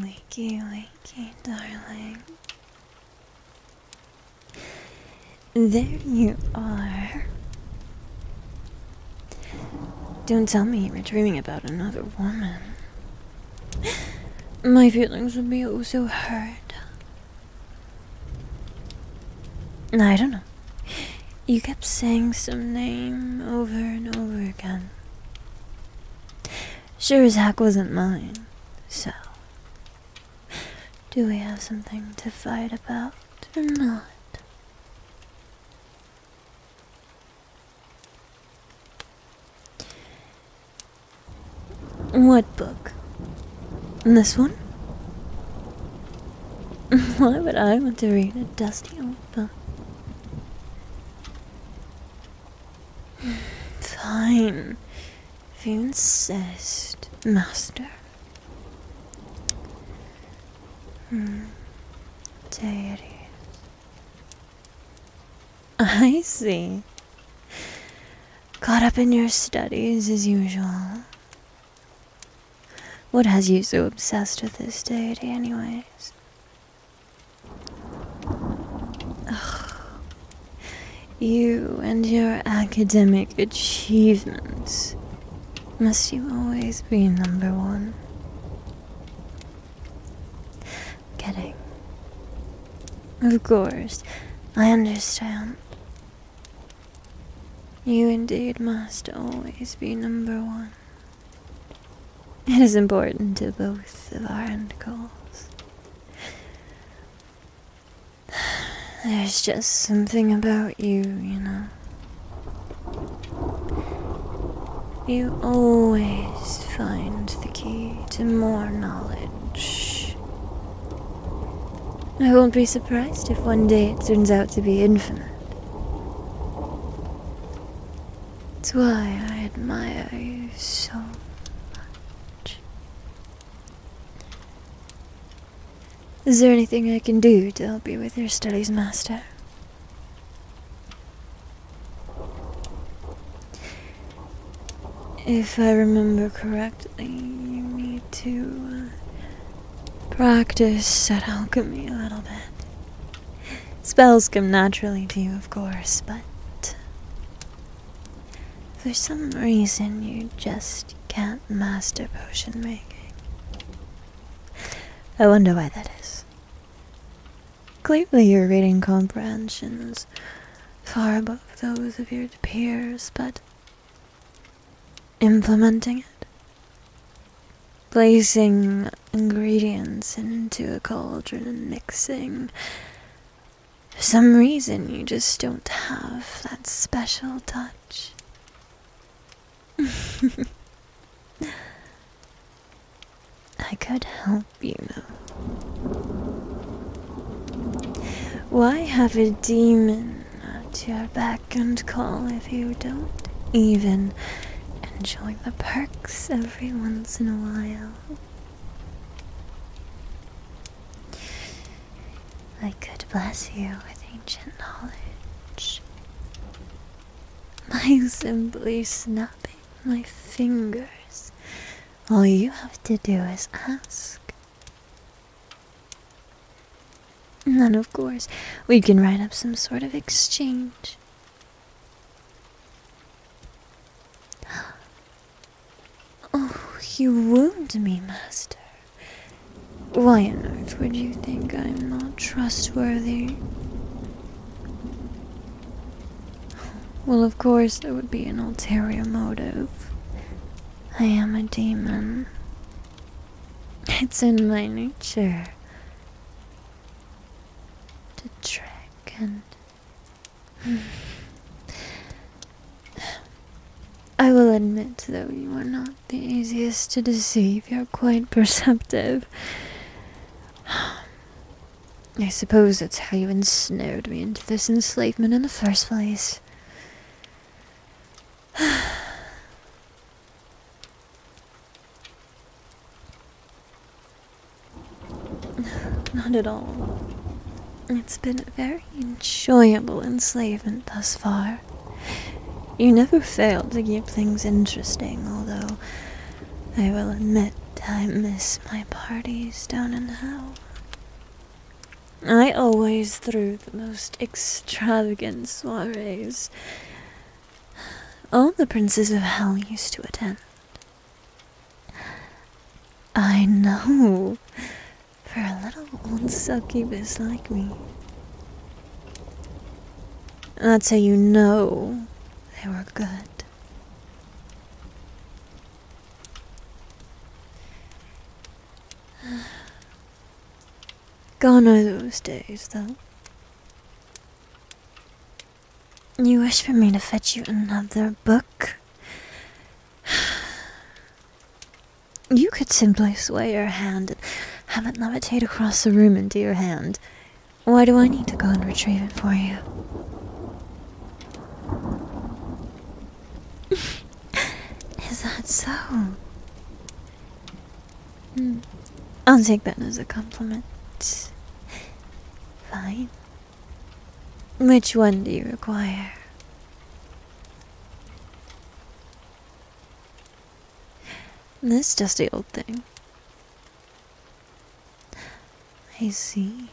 Wakey, wakey, darling. There you are. Don't tell me you are dreaming about another woman. My feelings would be oh so hurt. I don't know. You kept saying some name over and over again. Sure as heck wasn't mine, so. Do we have something to fight about or not? What book? This one? Why would I want to read a dusty old book? Fine. If you insist, master. Hmm. There I see. Caught up in your studies as usual. What has you so obsessed with this deity, anyways? Ugh. You and your academic achievements. Must you always be number one? Kidding. Of course, I understand. You indeed must always be number one. It is important to both of our end goals. There's just something about you, you know. You always find the key to more knowledge. I won't be surprised if one day it turns out to be infinite. That's why I admire you so much. Is there anything I can do to help you with your studies, Master? If I remember correctly, you need to uh, practice that alchemy a little bit. Spells come naturally to you, of course, but uh, for some reason you just can't master potion making. I wonder why that is. Clearly, your reading comprehensions far above those of your peers, but implementing it, placing ingredients into a cauldron and mixing. For some reason, you just don't have that special touch. I could help you. Why have a demon at your back and call if you don't even enjoy the perks every once in a while? I could bless you with ancient knowledge by simply snapping my fingers. All you have to do is ask. And then, of course, we can write up some sort of exchange. Oh, you wound me, Master. Why on earth would you think I'm not trustworthy? Well, of course, there would be an ulterior motive. I am a demon. It's in my nature to trick and. I will admit, though, you are not the easiest to deceive. You're quite perceptive. I suppose that's how you ensnared me into this enslavement in the first place. Not at all. It's been a very enjoyable enslavement thus far. You never fail to keep things interesting, although I will admit I miss my parties down in hell. I always threw the most extravagant soirees. All the princes of hell used to attend. I know, for a little old succubus like me. That's how you know they were good. Gone are those days, though. You wish for me to fetch you another book? You could simply sway your hand and have it levitate across the room into your hand. Why do I need to go and retrieve it for you? Is that so? Hmm. I'll take that as a compliment. Fine. Which one do you require? This dusty old thing. I see.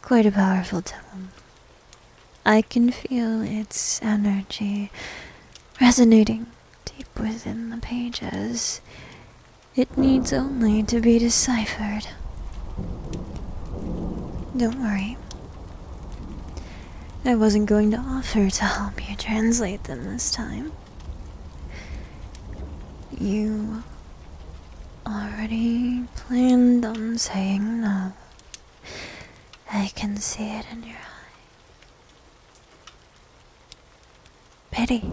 Quite a powerful tome. I can feel its energy resonating deep within the pages. It needs only to be deciphered. Don't worry. I wasn't going to offer to help you translate them this time. You already planned on saying no. I can see it in your eyes. Pity.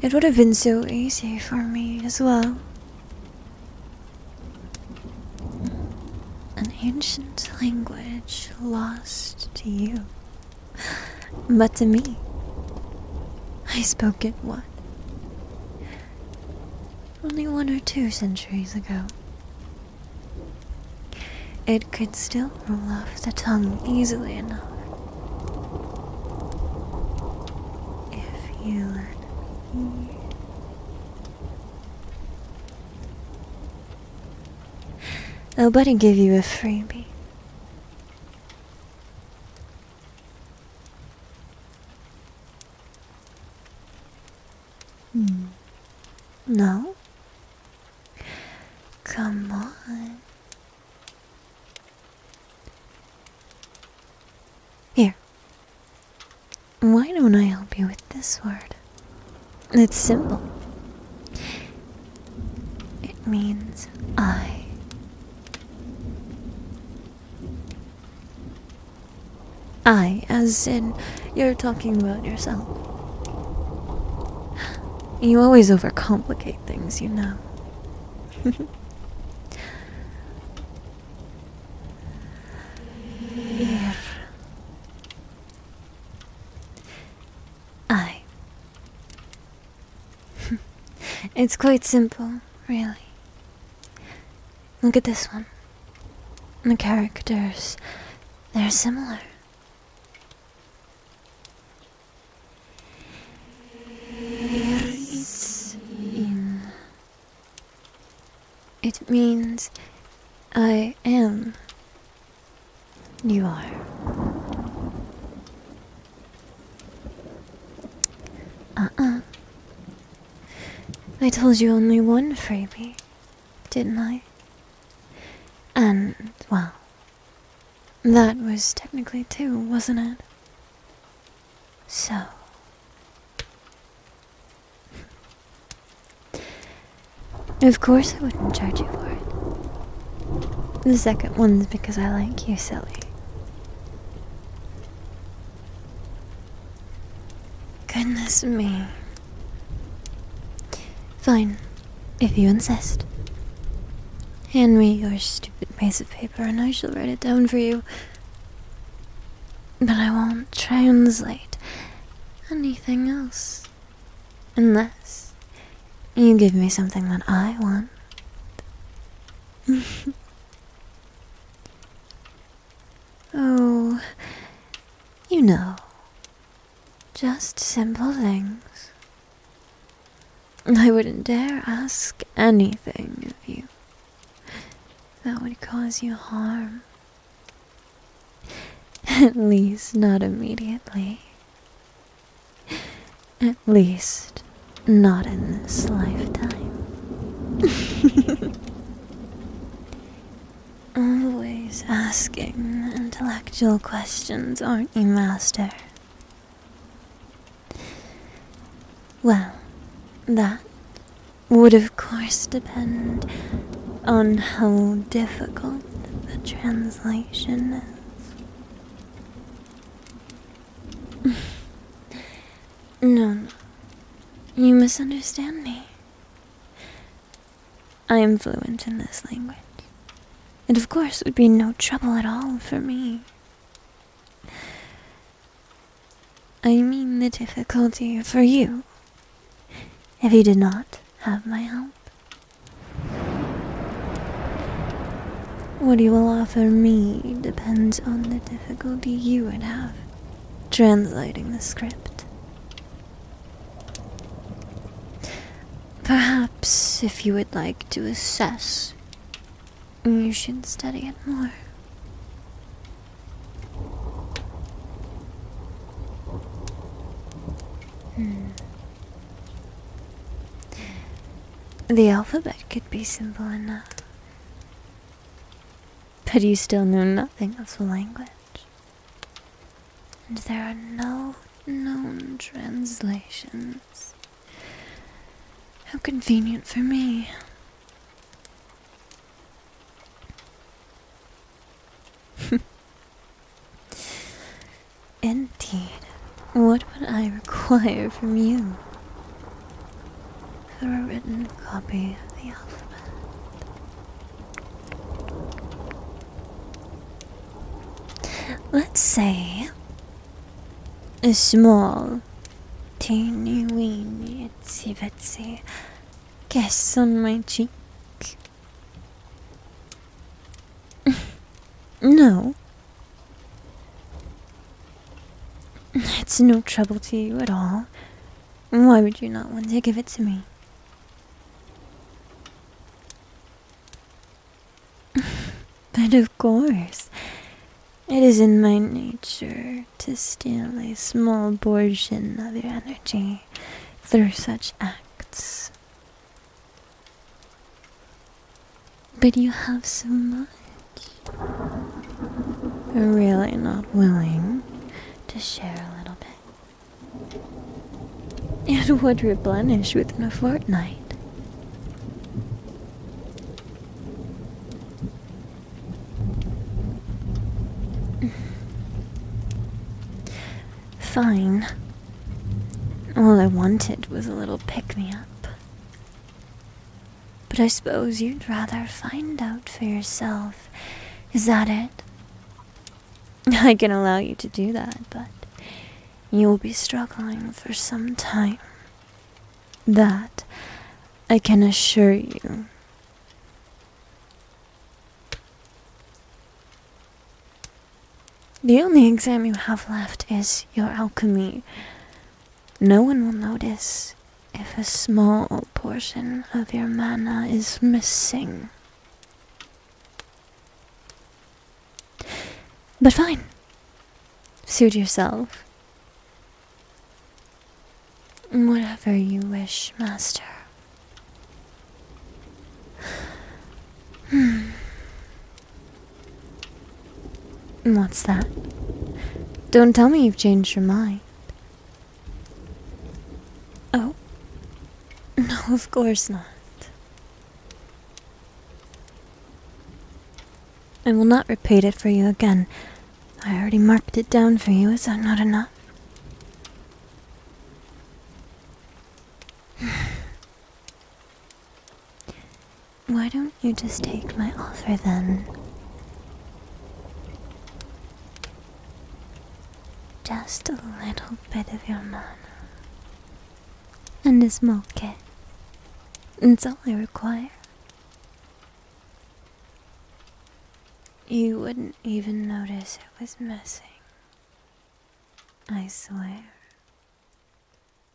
It would have been so easy for me as well. An ancient language lost to you but to me, I spoke it once Only one or two centuries ago. It could still roll off the tongue easily enough. If you let me. I'll but give you a freebie. Hmm. No? Come on. Here. Why don't I help you with this word? It's simple. It means I. I, as in, you're talking about yourself. You always overcomplicate things, you know. Here. I it's quite simple, really. Look at this one. The characters, they're similar. It means I am you are. Uh uh. I told you only one freebie, didn't I? And, well, that was technically two, wasn't it? So. Of course I wouldn't charge you for it. The second one's because I like you, silly. Goodness me. Fine, if you insist. Hand me your stupid piece of paper and I shall write it down for you. But I won't translate anything else unless, you give me something that I want. oh, you know, just simple things. I wouldn't dare ask anything of you that would cause you harm. At least not immediately. At least, not in this lifetime. Always asking intellectual questions, aren't you, Master? Well, that would of course depend on how difficult the translation is. no, no. You misunderstand me. I am fluent in this language. and of course, it would be no trouble at all for me. I mean the difficulty for you if you did not have my help. What you will offer me depends on the difficulty you would have translating the script. Perhaps if you would like to assess, you should study it more. Hmm. The alphabet could be simple enough, but you still know nothing of the language, and there are no known translations. How convenient for me. Indeed, what would I require from you? For a written copy of the alphabet. Let's say a small, teeny weeny itsy bitsy kiss on my cheek. no. It's no trouble to you at all. Why would you not want to give it to me? but of course, it is in my nature to steal a small portion of your energy through such acts. But you have so much. You're really not willing to share a little bit. It would replenish within a fortnight. Fine. All I wanted was a little pick me up. But I suppose you'd rather find out for yourself. Is that it? I can allow you to do that, but you'll be struggling for some time. That I can assure you. The only exam you have left is your alchemy. No one will notice if a small portion of your mana is missing. But fine. Suit yourself. Whatever you wish, Master. Hmm. What's that? Don't tell me you've changed your mind. Oh? No, of course not. I will not repeat it for you again. I already marked it down for you. Is that not enough? Why don't you just take my offer then? Just a little bit of your mana. And a small kit. It's all I require. You wouldn't even notice it was missing. I swear.